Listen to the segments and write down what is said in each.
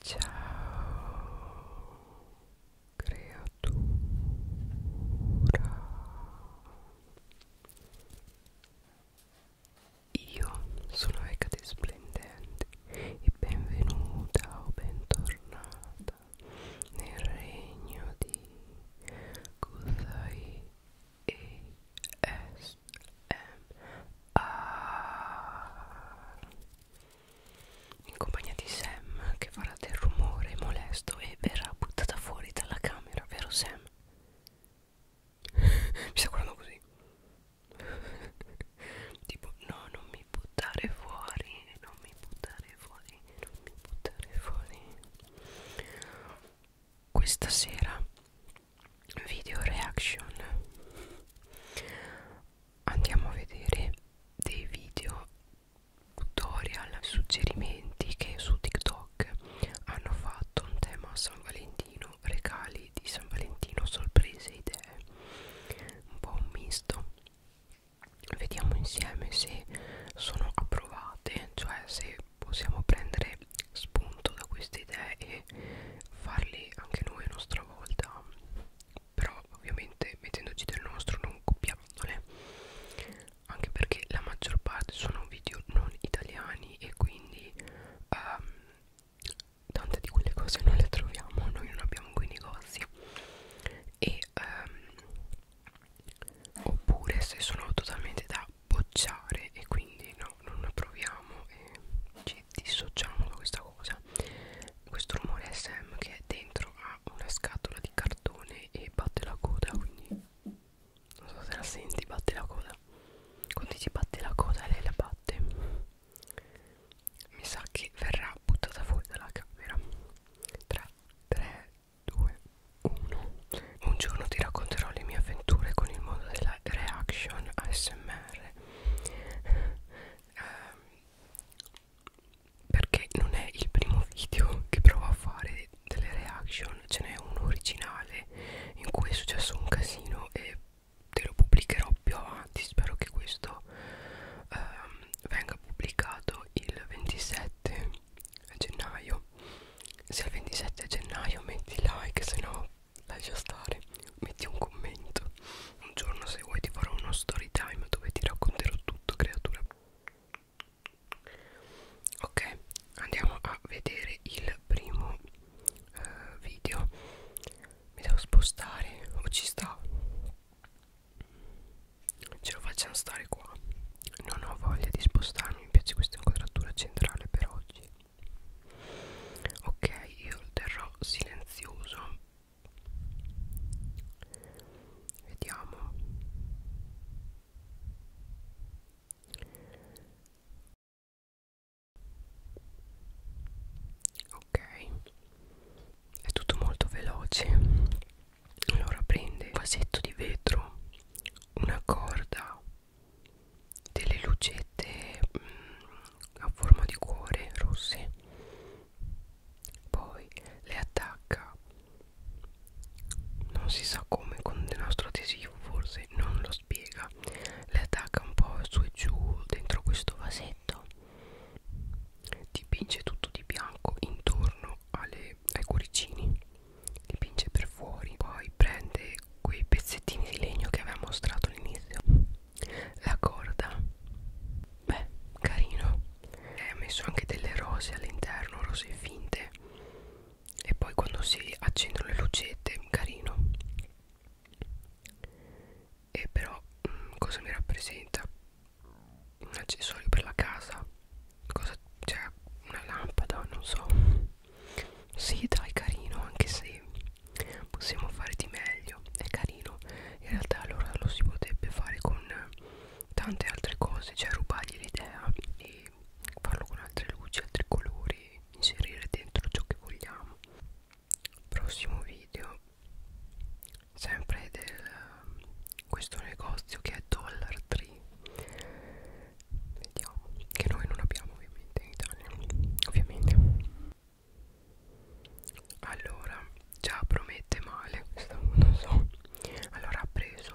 Ciao creatura Io sono Hecate Splendente e benvenuta o bentornata nel regno di Kuzai e S M R in compagnia di Sam che farà del rumore molesto e verrà buttata fuori dalla camera, vero Sam? mi sta guardando così tipo no non mi buttare fuori non mi buttare fuori non mi buttare fuori questa sera video reaction andiamo a vedere dei video tutorial suggerimenti che su TikTok hanno fatto un tema San Valentino, regali di San Valentino, sorprese, idee, un po' un misto. Vediamo insieme se sono approvate, cioè se possiamo prendere spunto da queste idee e farle anche noi a nostra volta però ovviamente mettendoci del nostro non copiandole anche perché la maggior parte sono video non italiani e quindi um, tante di quelle cose non le troviamo noi non abbiamo quei negozi e um, oppure se sono totalmente da bocciare e quindi no non proviamo e ci dissociamo da questa cosa questo rumore SM che è dentro a una scatola di cartone e batte la coda quindi non so se la senti batte la coda quando dici batte la coda lei la batte mi sa che verrà buttata fuori dalla camera 3 3 2 1 un giorno ti racconterò le mie avventure con il mondo della re reaction ASMR um, ehm, perché non è il primo video che provo a fare delle reaction ce n'è uno originale in cui è successo un casino e te lo pubblicherò più avanti spero che questo um, venga pubblicato il 27 gennaio se il 27 gennaio metti like se no lascia stare, metti un commento. Un giorno se vuoi ti farò uno story time dove ti racconterò tutto, creatura. Ok, andiamo a vedere il primo eh, video. Mi devo spostare o ci sta? Ce lo facciamo stare qua. Non ho voglia di spostarmi, mi piace questa inquadratura centrale per oggi ok io lo terrò silenzioso vediamo ok è tutto molto veloce allora prende un vasetto di vetro una corda delle lucette mh, mm, a forma di cuore rosse poi le attacca non si sa come con il nostro adesivo forse non lo spiega le attacca un po' su e giù dentro questo vasetto dipinge tutto di bianco intorno alle, ai cuoricini dipinge per fuori poi prende quei pezzettini di legno che aveva mostrato all'inizio la corda beh carino e ha messo anche delle rose all'interno rose finte e poi quando si accendono le lucette carino e però mm, cosa mi rappresenta un accessorio per la casa cosa cioè una lampada non so sì dai carino anche se possiamo fare di meglio È carino In realtà allora lo si potrebbe fare con tante altre cose Cioè rubargli l'idea e farlo con altre luci, altri colori Inserire dentro ciò che vogliamo Prossimo video Sempre del questo negozio che è Dollar Tree Vediamo Che noi non abbiamo ovviamente in Italia Ovviamente allora già promette male non so allora ha preso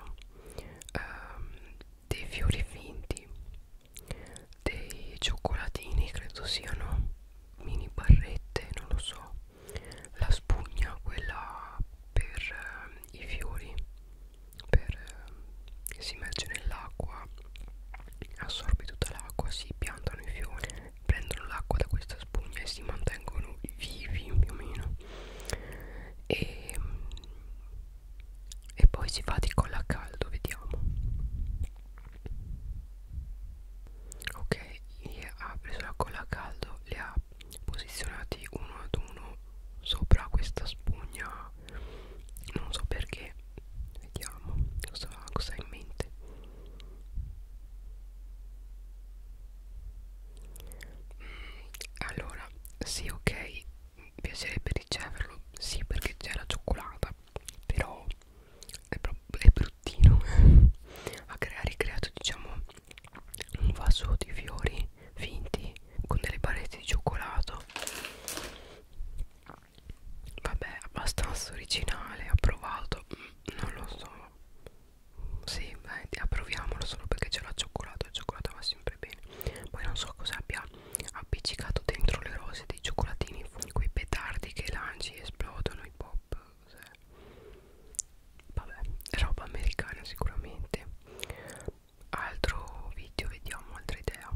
ehm, dei fiori finti dei cioccolatini credo siano mini barrette non lo so la spugna quella per eh, i fiori per eh, si immerge nell'acqua assorbe tutta l'acqua si piantano i fiori prendono l'acqua da questa spugna e si mantengono vivi più o meno e, e poi si va di colla a caldo vediamo ok ha preso la colla a caldo le ha posizionati uno ad uno sopra questa spugna non so perché vediamo cosa, cosa ha in mente mm, allora sì ok mi piacerebbe riceverlo sì perché c'è la cioccolata però è, è bruttino ha, ha ricreato diciamo un vaso di fiori finti con delle barrette di cioccolato vabbè abbastanza originale approvato mm, non lo so sì beh, approviamolo solo perché c'è la cioccolata il cioccolato va sempre bene poi non so cosa abbia appiccicato dentro le rose dei cioccolatini quei petardi che lanci esplodono i pop cos'è? vabbè roba americana sicuramente altro video vediamo altra idea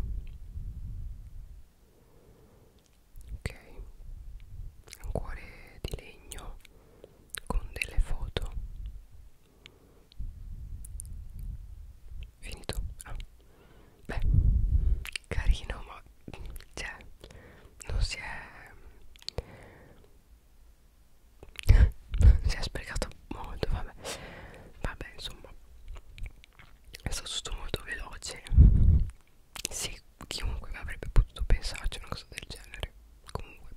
ok un cuore di legno con delle foto finito ah. beh carino ma cioè non si è si è sprecato molto vabbè vabbè insomma è stato tutto molto veloce sì chiunque avrebbe potuto pensarci una cosa del genere comunque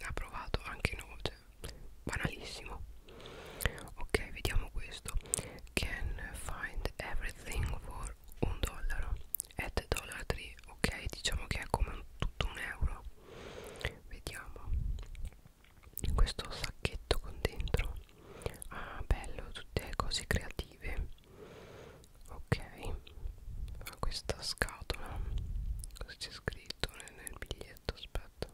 ha provato anche no cioè, banalissimo ok vediamo questo can find everything for un dollaro at dollar 3 ok diciamo che è come un, tutto un euro vediamo in questo sacchetto con dentro ah bello tutte cose creative ok fa questa scatola cosa c'è scritto nel biglietto aspetta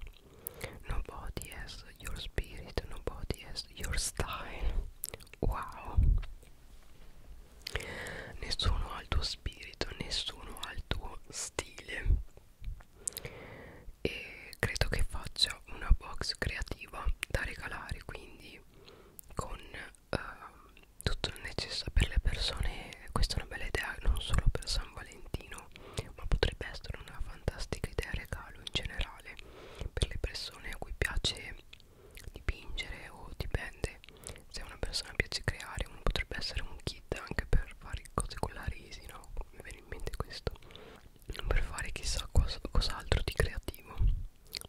nobody has your spirit nobody has your style wow nessuno ha il tuo spirito nessuno ha il tuo stile e credo che faccia una box creativa da regalare quindi con eh, tutto il necessario per le persone questa è una bella idea non solo per San Valentino ma potrebbe essere una fantastica idea regalo in generale per le persone a cui piace dipingere o dipende se a una persona piace creare uno potrebbe essere un kit anche per fare cose con la resina mi viene in mente questo per fare chissà cos cos'altro di creativo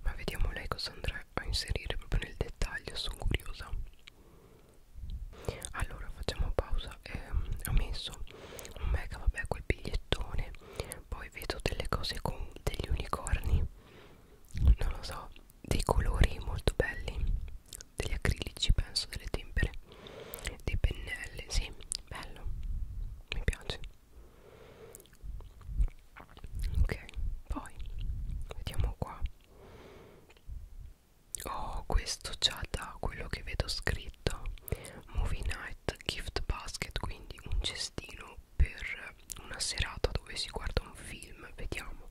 ma vediamo lei cosa andrà a inserire proprio nel dettaglio sono curiosa allora facciamo pausa eh, ho messo un mega vabbè quel bigliettone poi vedo delle cose con degli unicorni non lo so dei colori molto belli degli acrilici penso delle tempere dei pennelli sì bello mi piace ok poi vediamo qua oh questo già da quello che vedo scritto movie night gift basket quindi un cestino per una serata dove si guarda un film vediamo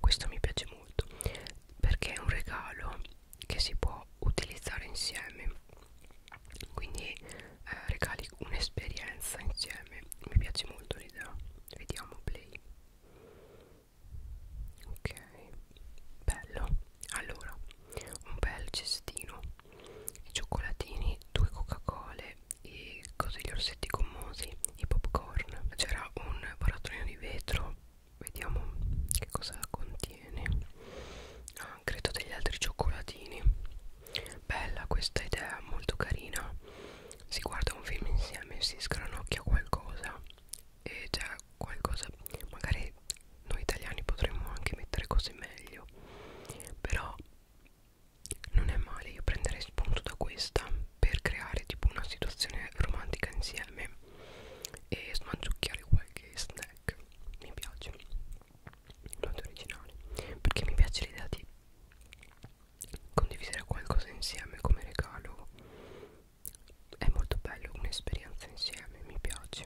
questo mi piace molto perché è un regalo che si può utilizzare insieme quindi eh, regali un'esperienza insieme mi piace molto l'idea vediamo play ok bello allora un bel cestino i cioccolatini due coca cole i cose gli orsetti gommosi i popcorn c'era un barattolino di vetro vediamo che cosa contiene ah, credo degli altri cioccolatini bella questa idea molto carina si guarda un film insieme si sgranocchia qualcosa e c'è qualcosa magari noi italiani potremmo anche mettere cose meglio però non è male io prenderei spunto da questa per creare tipo una situazione romantica insieme e smangiucchiare qualche snack black mi piace molto originale perché mi piace l'idea di condividere qualcosa insieme come regalo è molto bello un'esperienza insieme mi piace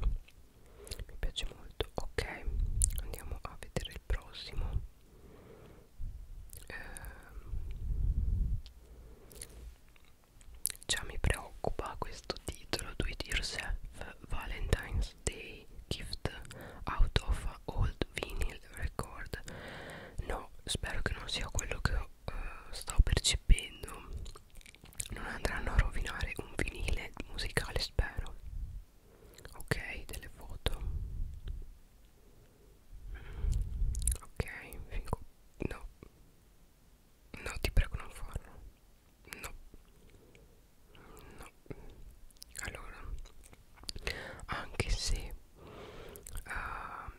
mi piace molto ok andiamo a vedere il prossimo ehm, Già mi preoccupa questo titolo Do It Yourself Valentine's Day Gift Out of Old Vinyl Record No, spero che non sia quello che uh, sto percependo Non andranno a rovinare un vinile musicale, spero Ok, delle foto Ok, fingo... no No, ti prego non farlo. No. No. Allora, anche se uh,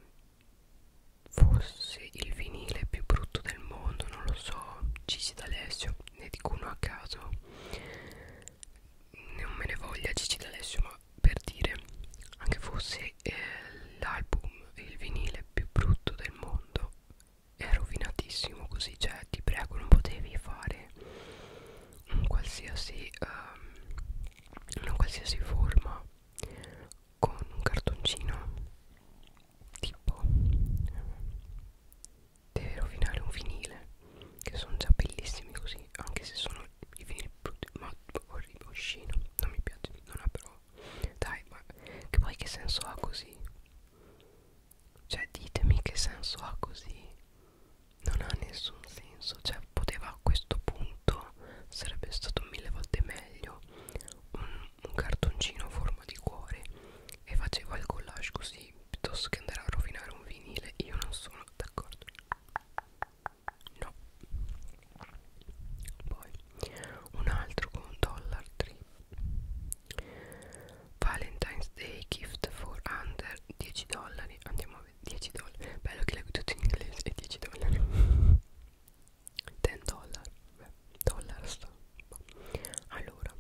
fosse il vinile più brutto del mondo, non lo so, Gigi D'Alessio, ne dico uno a caso, non me ne voglia Gigi D'Alessio, ma per dire, anche fosse eh, l'album, il vinile più brutto del mondo, è rovinatissimo così cioè ti prego non potevi fare un qualsiasi um, una qualsiasi forma con un cartoncino tipo deve rovinare un vinile che sono già bellissimi così anche se sono i vinili brutti ma orribile oscino non mi piace non ha però dai, ma che poi che senso ha così? Cioè, ditemi che senso ha così. Non ha nessun senso. Cioè, poteva a questo punto, sarebbe stato mille volte meglio, un, un cartoncino a forma di cuore e faceva il collage così, piuttosto che andare a rovinare un vinile. Io non sono d'accordo. No poi un altro con dollar 3 valentine's day gift for under 10 dollari andiamo a 10 dollari bello che leggo tutto in inglese è 10 dollari 10 dollari dollar sta allora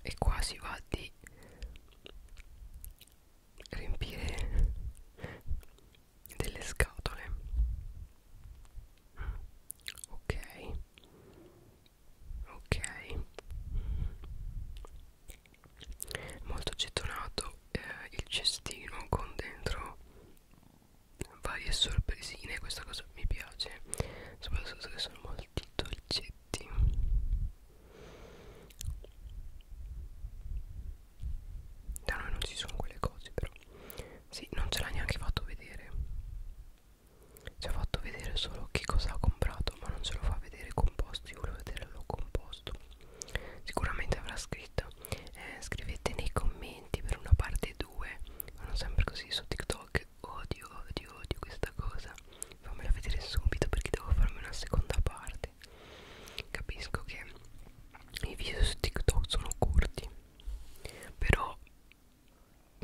e qua si va di riempire delle scatole ok ok molto gettonato eh, il cestino con dentro varie sorpresine questa cosa mi piace soprattutto che sono molti dolcetti da noi non ci sono quelle cose però sì, non ce l'ha neanche fatto vedere. Ci ha fatto vedere solo che cosa ha comprato, ma non ce lo fa vedere composto. Io volevo vederlo composto. Sicuramente avrà scritto. Eh, scrivete nei commenti per una parte 2. Fanno sempre così su TikTok. Odio, odio, odio questa cosa. Fammela vedere subito perché devo farmi una seconda parte. Capisco che i video su TikTok sono corti però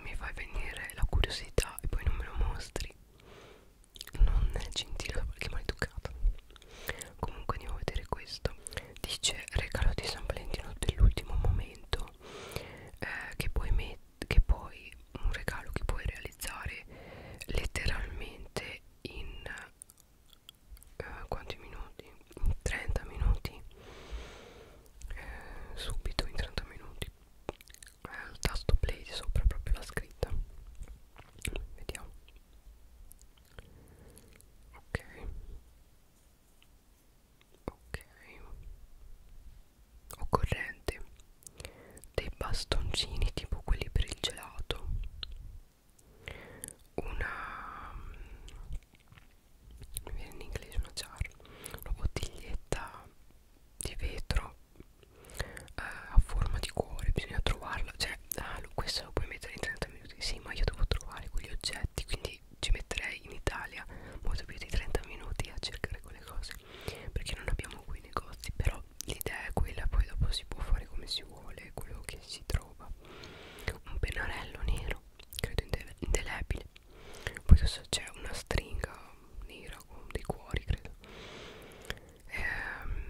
mi fai venire la curiosità e poi non me lo mostri non è gentile da qualche maleducato comunque andiamo a vedere questo dice regalo di San Valentino dell'ultimo momento eh, che, puoi che puoi un regalo che puoi realizzare letteralmente in eh, quanti minuti? 30 minuti eh, subito in 30 minuti al tasto play di sopra proprio la scritta vediamo ok ok occorrente dei bastoncini tipo quelli per il gelato una mi viene in inglese una jar una bottiglietta di vetro eh, a forma di cuore bisogna trovarla cioè ah, questo lo puoi mettere in 30 minuti sì ma io devo trovare quegli oggetti quindi ci metterei in Italia molto più di 30 minuti a cercare quelle cose perché non abbiamo qui negozi però l'idea è quella poi dopo si può fare come si vuole quello che si trova un pennarello nero credo indele indelebile poi c'è una stringa nera con dei cuori credo ehm,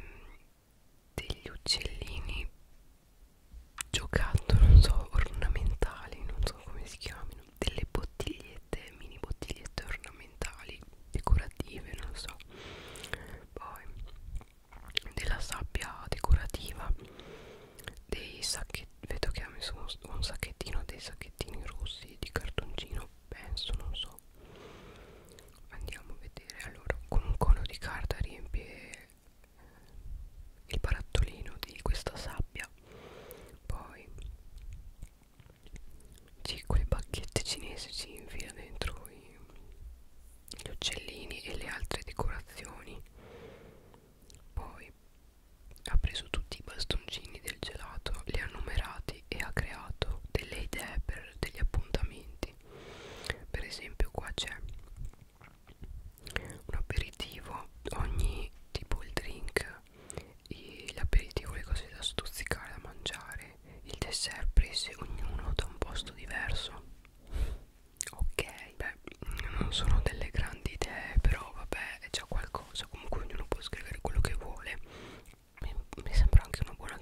degli uccellini giocato non so ornamentali non so come si chiamino delle bottigliette mini bottigliette ornamentali decorative non so poi della sabbia decorativa dei sacchetti vedo che ha messo un, un sacchettino dei sacchettini rossi di cartoncino penso non so andiamo a vedere allora con un cono di carta riempie il barattolino di questa sabbia poi c'è quei bacchette cinesi si infila dentro i, gli uccellini e le altre decorazioni poi ha preso tutti i bastoncini del gelato, li ha numerati e ha creato delle idee per degli appuntamenti. Per esempio qua c'è un aperitivo, ogni tipo il drink, l'aperitivo, le cose da stuzzicare, da mangiare, il dessert prese ognuno da un posto diverso ok beh non sono delle grandi idee però vabbè è già qualcosa comunque ognuno può scrivere quello che vuole mi, mi sembra anche una buona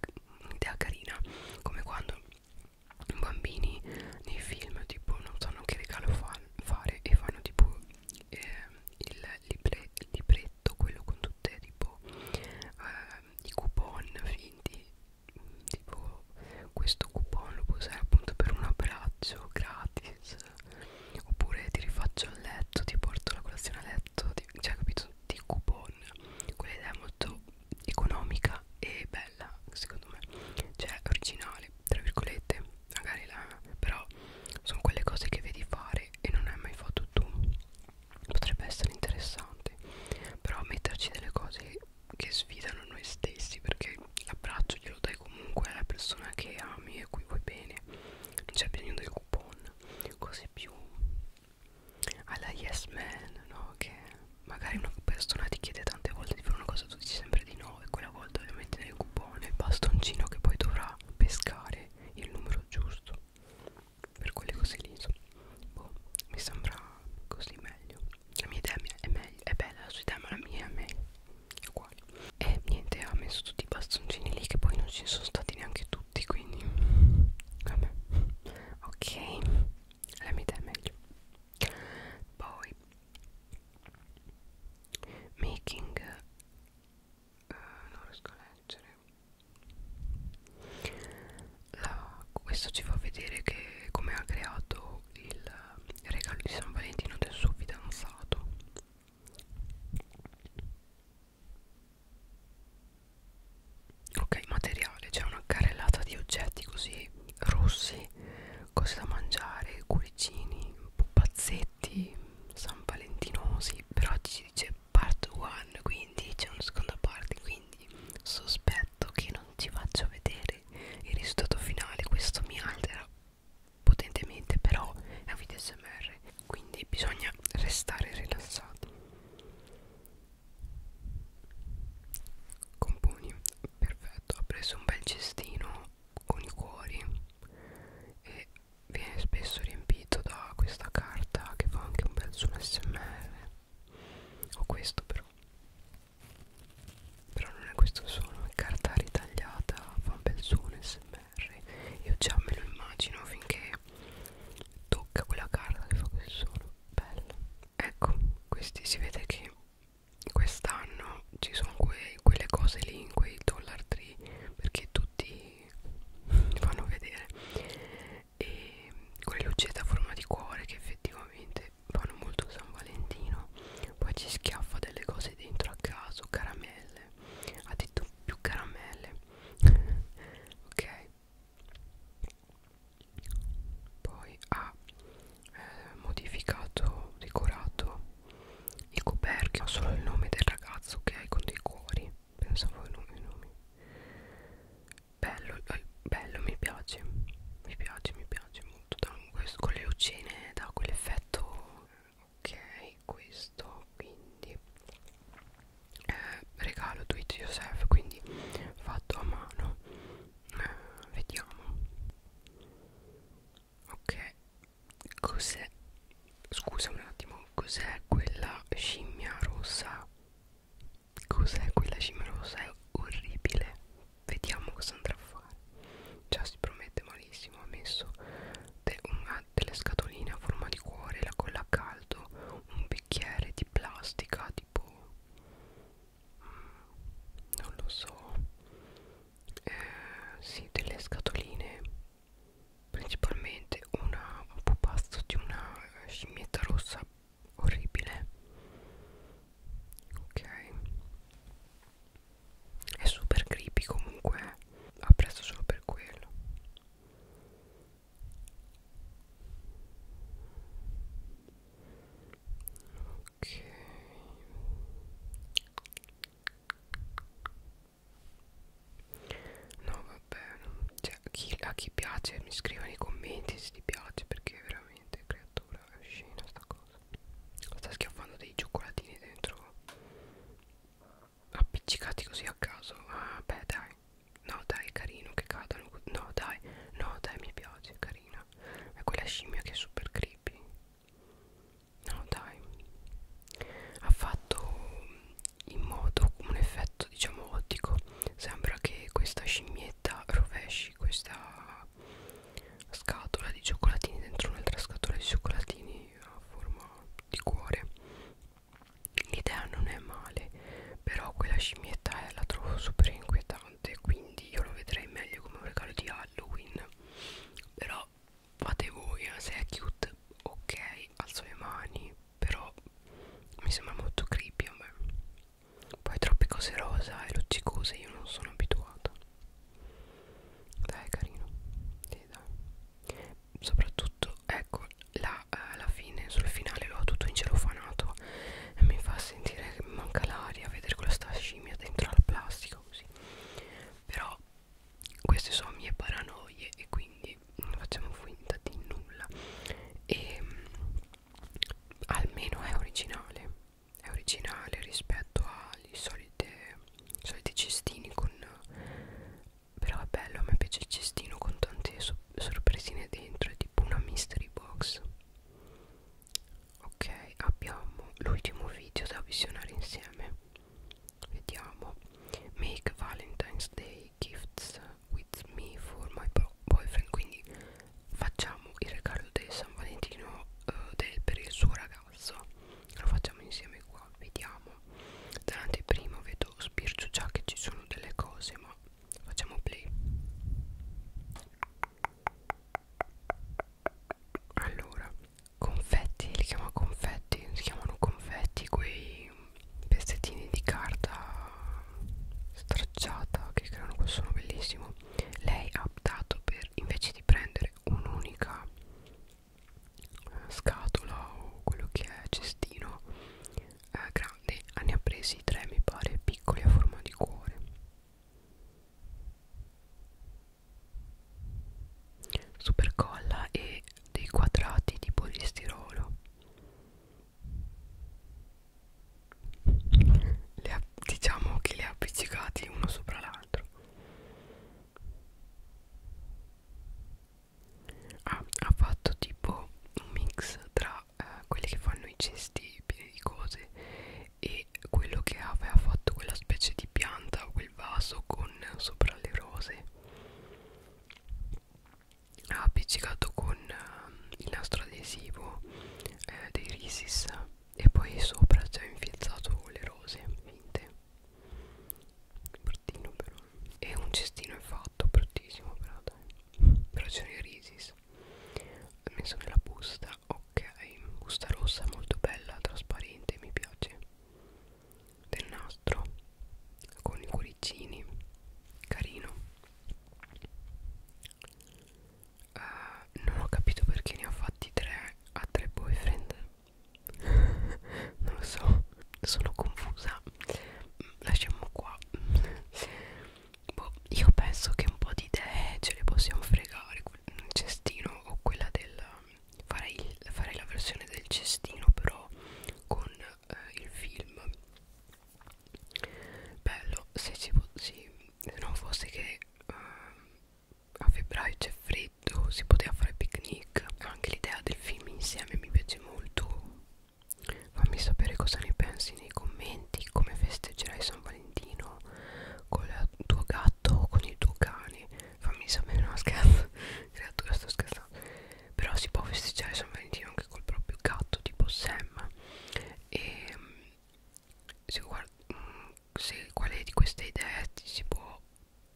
idea carina come quando i bambini nei film tipo non sanno che regalo fan, fare e fanno tipo eh, il, libre, il libretto quello con tutte tipo eh, i coupon finti tipo questo coupon lo puoi usare appunto per un abbraccio gratis oppure ti rifaccio a letto ti porto la colazione a letto ti, cioè capito di coupon quell'idea è molto economica e bella secondo me cioè originale tra virgolette magari la però sono quelle cose che vedi fare e non hai mai fatto tu potrebbe essere interessante però metterci delle cose che sfidano noi stessi perché l'abbraccio glielo dai comunque alla persona che ami e cui vuoi bene non c'è bisogno del coupon cose più alla yes man no? che magari una persona ti chiede tante volte di fare una cosa tu dici sempre di no e quella volta devi mettere il coupon il bastoncino che poi dovrà pescare il numero giusto per quelle cose lì boh, mi sembra così meglio la mia idea è, meglio, è bella, la sua idea ma la mia è meglio uguale e niente ha messo tutti i bastoncini lì che poi non ci sono stati neanche tutti quindi vabbè ok la mia idea è meglio poi making uh, non riesco a leggere la, questo ci fa vedere che come ha creato il regalo di San Valentino del suo fidanzato ok materiale c'è una carrellata di oggetti così rossi cose da mangiare cuoricini pupazzetti san valentinosi però ci dice part 1 quindi c'è una seconda parte quindi sospetto che non ci faccio vedere vedere il risultato finale questo mi altera potentemente però è un video smr quindi bisogna restare rilassati componi perfetto ho preso un bel cestino con i cuori e viene spesso riempito da questa carta che fa anche un bel suono smr ho questo però però non è questo suono, è carta ritagliata, fa un bel suono smr. Io già me lo immagino finché tocca quella carta che fa quel suono. Bello. Ecco, questi si vede che quest'anno ci sono que quelle cose lì in quei dollar tree perché tutti fanno vedere e con le lucette a forma di cuore che effettivamente fanno molto San Valentino poi ci schiaffa delle cose dentro a caso caramelle ha detto più caramelle ok poi ha eh, modificato decorato i coperchi solo il nome del ragazzo ok con dei cuori pensavo ai nomi, nomi bello, eh, bello mi piace mi piace mi piace molto questo, con le lucine da quell'effetto ok questo quindi eh, regalo do it yourself quindi fatto a mano eh, vediamo ok cos'è scusa un attimo cos'è quella scimmia rossa Cos'è quella cimerosa? È orribile. Vediamo cosa andrà a fare. Già si promette malissimo. Ha messo de una, delle scatoline a forma di cuore, la colla a caldo, un bicchiere di plastica tipo... Mm, non lo so. Eh, sì, delle scatoline. Principalmente una, un pupazzo di una scimmietta rossa orribile ok è super creepy comunque eh. apprezzo solo per quello ok no vabbè cioè, chi, a chi piace mi scriva nei commenti se ti piace perché veramente credo creatura è scena sta cosa sta schiaffando dei cioccolatini dentro appiccicati così a caso ah, beh dai no dai è carino che cadano no dai no dai mi piace è carina è quella scimmia che è super creepy no dai ha fatto in modo un effetto diciamo ottico sembra che questa scimmietta rovesci questa scatola di cioccolatini dentro un'altra scatola di cioccolatini a forma di cuore l'idea non è male però quella scimmietta è, eh, la trovo super inquietante quindi io lo vedrei meglio come un regalo di Halloween però fate voi eh, se è cute ok alzo le mani però mi sembra molto creepy a me poi troppe cose rosa e luccicose io non sono abituata. Dai, è carino. Sì, dai. Soprattutto, ecco, là, alla eh, fine, sul finale l'ho tutto incelofanato e mi fa sentire che mi manca l'aria vedere questa scimmia dentro al plastico così. Però queste sono mie paranoie e quindi non facciamo finta di nulla. E ehm, almeno è originale è originale rispetto agli solite, soliti cestini con però è bello a me piace il cestino con tante sorpresine dentro è tipo una mystery box ok abbiamo l'ultimo video da visionare insieme vediamo make valentine's day gifts with me for my boyfriend quindi facciamo il regalo del San Valentino uh, del, per il suo ragazzo lo facciamo insieme qua vediamo dall'anteprima vedo sbircio già che ci sono delle cose ma facciamo play allora confetti li chiama confetti si chiamano confetti quei pezzettini di carta stracciata che creano quel suono bellissimo lei ha optato per invece di prendere un'unica eh, scatola o quello che è cestino eh, grande ne ha presi tre mi pare piccoli a forma di cuore super colla e dei quadrati di polistirolo le, diciamo che li ha appiccicati uno sopra l'altro ah, ha fatto tipo un mix tra eh, quelli che fanno i cesti pieni di cose e quello che aveva fatto quella specie di pianta quel vaso con sopra le rose appiccicato con eh, il nastro adesivo eh, dei Risis e poi sopra ci ho infilzato le rose finte bruttino però e un cestino è fatto bruttissimo però dai però c'è i Risis ho messo nella busta ok busta rossa molto bella trasparente mi piace del nastro con i cuoricini carino Uh, non ho capito perché ne ho fatti tre a tre boyfriend non lo so sono confusa mm, lasciamo qua boh, io penso che un po' di idee ce le possiamo fregare il cestino o quella del farei, farei la versione del cestino però con eh, il film bello se ci sì, se non fosse che uh, a febbraio c'è freddo si poteva fare picnic anche l'idea del film insieme mi piace molto fammi sapere cosa ne pensi nei commenti come festeggerai San Valentino con il tuo gatto o con il tuo cane fammi sapere no scherzo creatura sto scherzando però si può festeggiare San Valentino anche col proprio gatto tipo Sam e se, mm, se quale di queste idee si può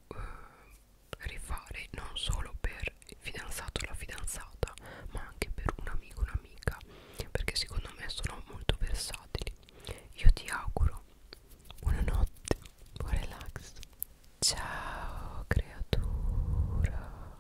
eh, rifare non solo per il fidanzato o la fidanzata ma anche per un amico o un'amica perché secondo me sono molto versatili io ti auguro buonanotte buon relax ciao creatura